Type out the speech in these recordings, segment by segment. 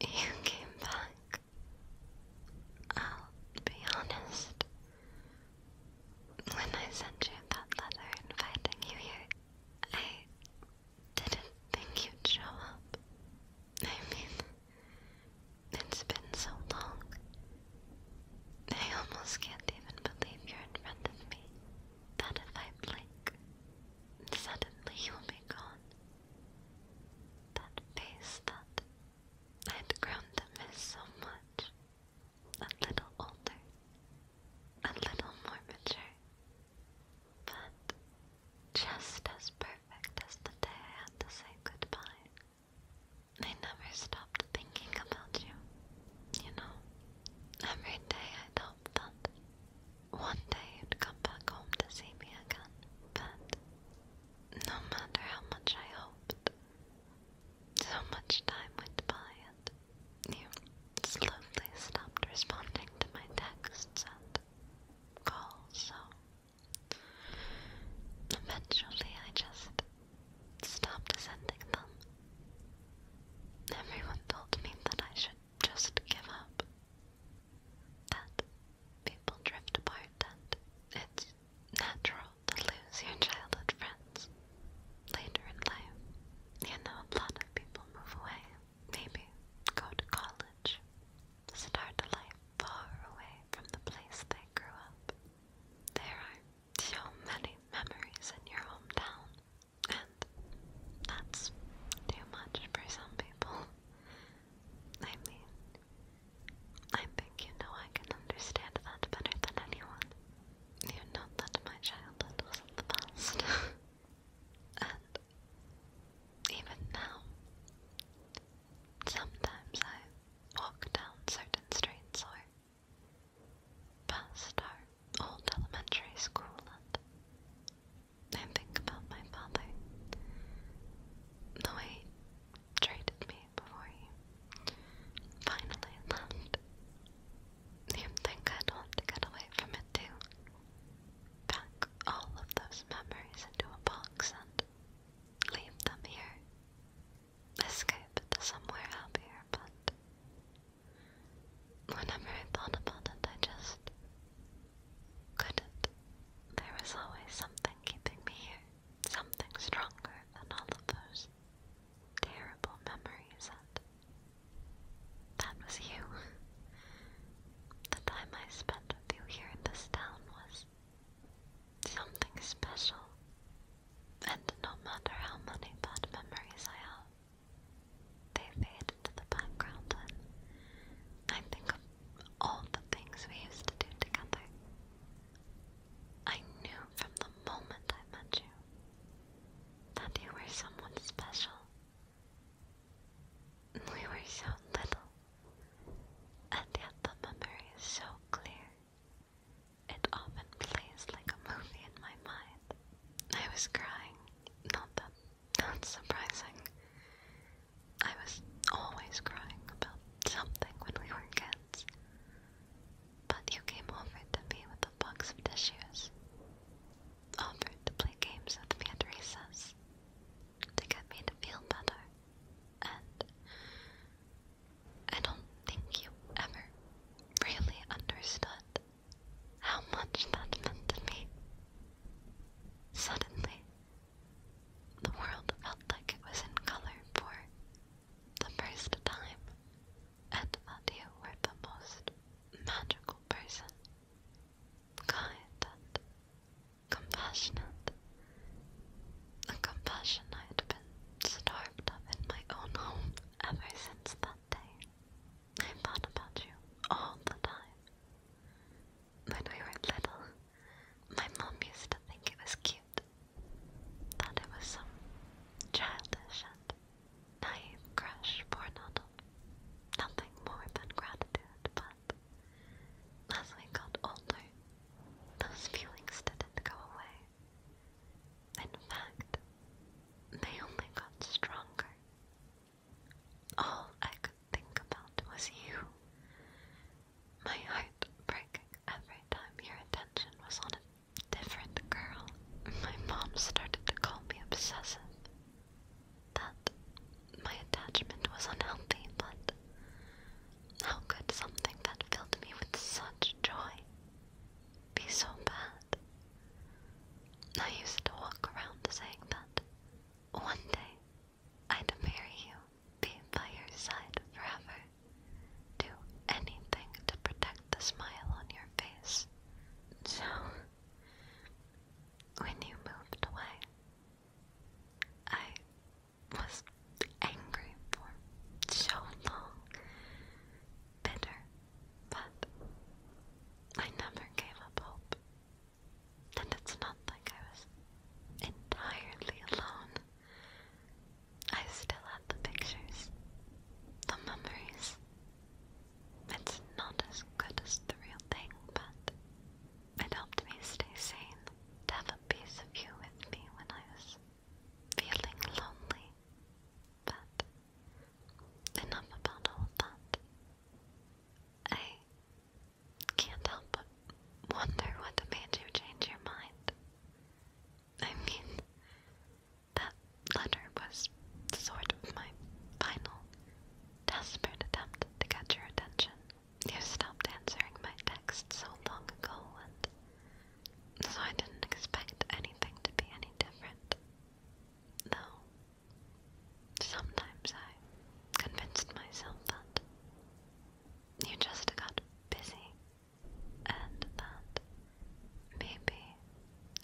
You came back. I'll be honest. When I sent you that letter inviting you here, I didn't think you'd show up. I mean, it's been so long. I almost can't even believe you're in front of me. That if I blink, suddenly you'll be gone. That face that I'd grown to miss so much. A little older. A little more mature. But just as perfect as the day I had to say goodbye. I never stopped thinking about you. You know, every day I'd that one day you'd come back home to see me again, but no matter how much I hoped, so much time went by and you slowly stopped responding to my texts and calls, so Eventually, I just stopped sending them. Everyone told me that I should just give up. That people drift apart and it's natural to lose your childhood friends later in life. You know, a lot of people move away, maybe go to college, start a life far away from the place they grew up. There are so many memories in your hometown, and that's too much for some people. I mean, I think you know I can understand that better than anyone. You know that my childhood wasn't the best. and even now, Sometimes I walk down certain streets or past our old elementary school and think about my father, the way he treated me before he finally left. you think i want to get away from it too. Pack all of those memories into a box and leave them here escape to somewhere here, but whenever I thought about it, I just couldn't. There was always something keeping me here, something stronger than all of those terrible memories, and that was you. The time I spent with you here in this town was something special. And no matter how many bad memories I have, they fade into the background I think of all the things we used to do together. I knew from the moment I met you that you were someone special. We were so little, and yet the memory is so clear. It often plays like a movie in my mind. I was crying. Not that that's surprising. I was always crying about something when we were kids. But you came over to me with a box of tissues. Offered to play games with me at recess. To get me to feel better and I don't think you ever really understood how much that meant to me. Suddenly, the world felt like it was in color for the first time, and that you were the most magical person, kind and compassionate. A compassion I had been starved of in my own home ever since that day. I thought about you all the time. When we were little, my mom used to think it was cute. Thought it was some childish and naive crush born out nothing more than gratitude, but as we got older, those feelings didn't go away. In fact, they only got stronger. All I could think about was you. My heart breaking every time your attention was on a different girl. My mom started to call me obsessive. That my attachment was unhealthy, but how could something that filled me with such joy be so bad? I used to walk around saying that one day I'd marry you, be by your side forever, do anything to protect the smile on your face. So, when you moved away, I was angry for so long, bitter, but I never gave up hope. And it's not like I was entirely alone. I still had the pictures, the memories. It's not as good as the real thing, but it helped me stay sane to have a piece of you with me when I was feeling lonely. But enough about all that. I can't help but wonder what made you change your mind. I mean, that letter was sort of my final desperate attempt to get your attention. You stopped answering my text so long ago, and so I didn't expect anything to be any different. Though, sometimes I convinced myself that you just got busy, and that maybe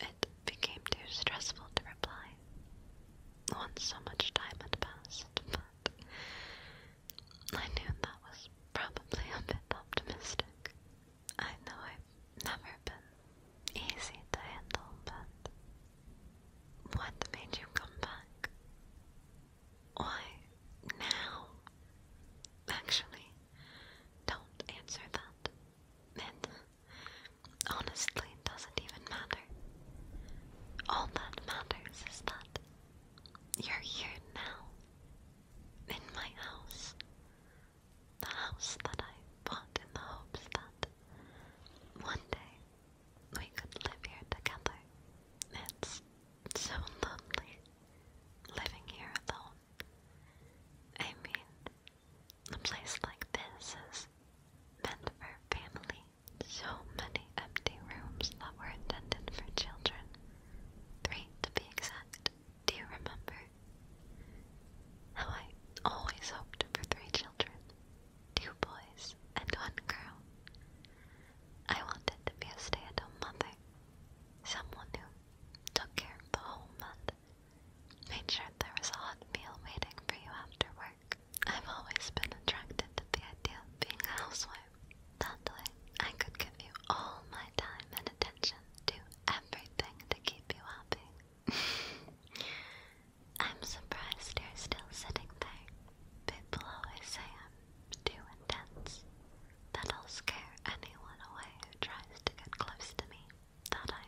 it became too stressful to reply once so much time had passed, but I knew that was probably a bit optimistic. I know I've never been easy to handle, but what made you come back? Why now? Actually, don't answer that. It honestly doesn't even matter. All that matters is that you're here now, in my house, the house that I bought in the hopes that one day we could live here together. It's so lovely living here alone. I mean, a place like this is meant for family so many empty rooms that were intended for children. Three, to be exact. Do you remember? How I always hoped for three children. Two boys and one girl. I wanted to be a stay-at-home mother. Someone who took care of the home and made sure there was a hot meal waiting for you after work. I've always been attracted to the idea of being a housewife. That way, I could give you all my time and attention, do everything to keep you happy. I'm surprised you're still sitting there. People always say I'm too intense. That'll scare anyone away who tries to get close to me. That I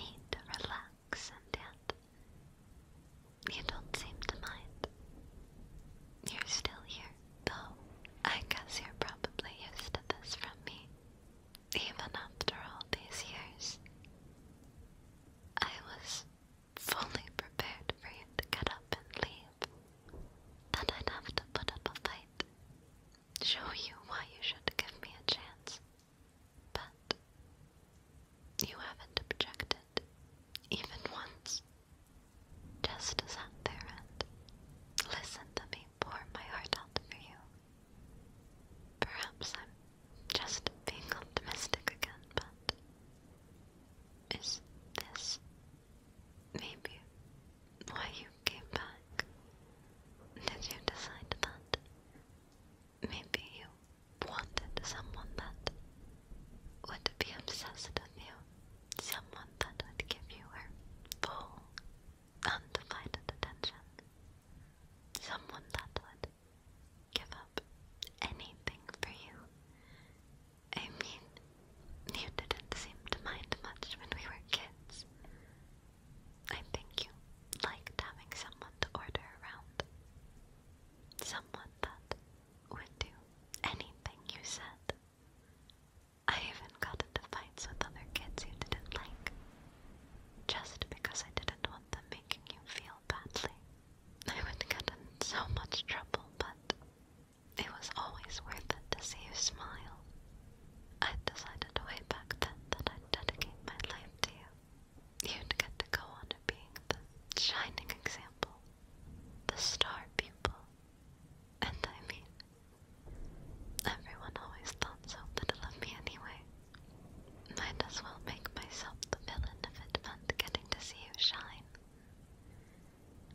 need to relax, and yet you don't seem to mind. You're still here, though. I guess you're probably used to this from me. Even after all these years, I was fully prepared for you to get up and leave. That I'd have to put up a fight, show you why you should give me a chance. But you haven't objected even once. Just sat there and listened to me pour my heart out for you. Perhaps I'm just being optimistic again, but is this maybe why you came back? Did you decide that? Maybe you wanted someone that would be obsessed with you. Someone that would give you her full, undivided attention. Someone that would give up anything for you. I mean, you didn't seem to mind much when we were kids. I think you liked having someone to order around. Someone that would do anything you said. I even got into fights with other kids you didn't like, just because I didn't want them making you feel badly. I would get in so much trouble, but it was always worth it to see you smile. I decided way back then that I'd dedicate my life to you. You'd get to go on being the shining example the star people. And I mean, everyone always thought so but little of me anyway. Might as well make myself the villain of it and getting to see you shine.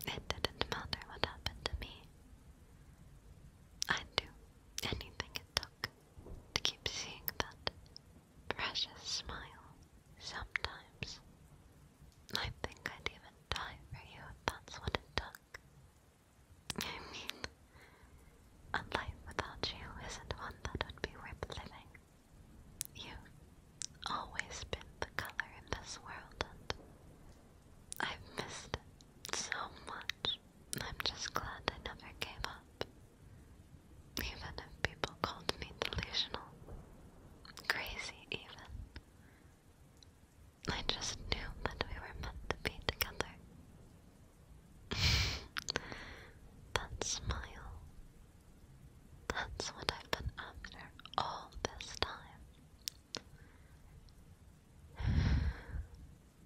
It didn't matter what happened to me. I'd do anything it took to keep seeing that precious smile sometimes I think I'd even die for you if that's what it took. I mean, a life without you isn't one that would be worth living. You've always been the color in this world, and I've missed it so much. I'm just glad I never gave up. Even if people called me delusional, Crazy, even. I just knew that we were meant to be together. that smile. That's what I've been after all this time.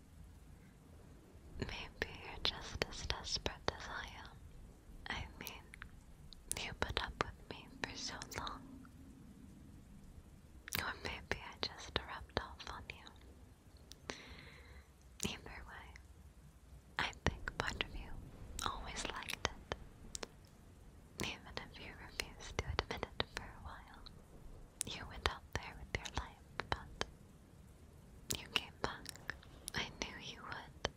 Maybe you're just as desperate as I am. I mean, you put up with me for so long. Or maybe I just rubbed off on you. Either way, I think part of you always liked it. Even if you refused to admit it for a while, you went out there with your life, but you came back. I knew you would.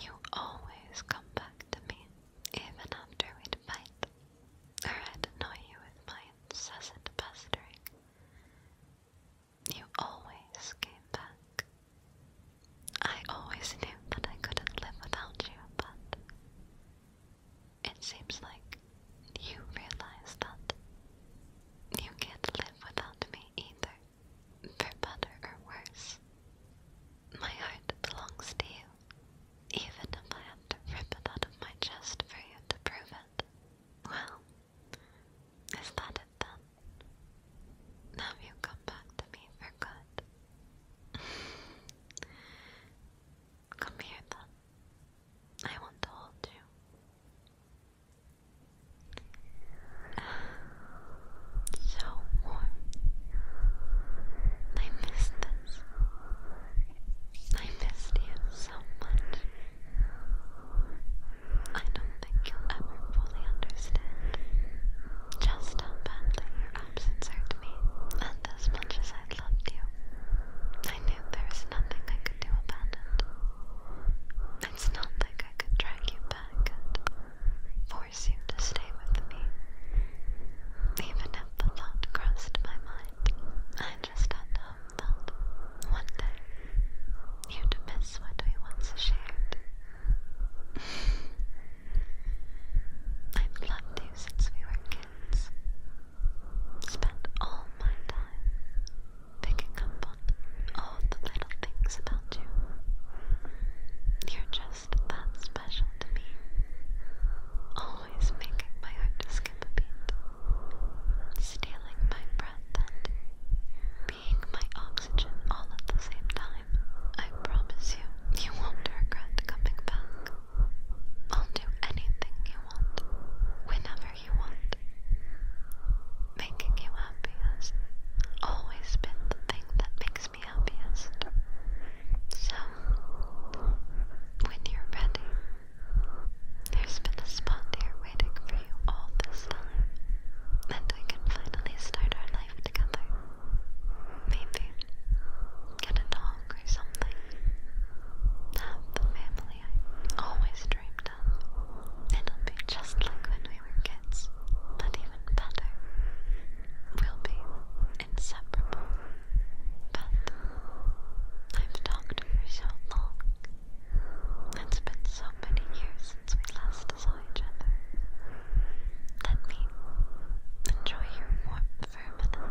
You always come back to me, even after we'd fight, or I'd annoy you with my incessant pestering. You always came back. I always knew that I couldn't live without you, but it seems like you realize that you can't live without me either. For better or worse, my heart belongs to you, even if I have to rip it out of my chest for you to prove it. Well, is that it then? Now you come back to me for good. come here then. I want to hold you. So warm. I miss this. I missed you so much. I don't think you'll ever fully understand just how badly your absence hurt me. And as much as I loved you, I knew there was nothing I could do about it. It's not like I could drag you back always seemed to stay with me. Even if the thought crossed my mind, I just had to hope that one day you'd miss what we once shared. I've loved you since we were kids. Spent all my time picking up on the little things about you. You're just that special to me. Always making my heart skip a beat. Stealing my breath and being my oxygen all at the same time. I promise you, you won't regret coming back. I'll do anything you want, whenever you want making you happy always been the thing that makes me happiest. So, when you're ready, there's been a spot here waiting for you all this time, and we can finally start our life together. Maybe get a dog or something. Have the family I always dreamed of. It'll be just like when we were kids kids, but even better, will be inseparable. But I've talked for so long. It's been so many years since we last saw each other. Let me enjoy your warmth for a minute.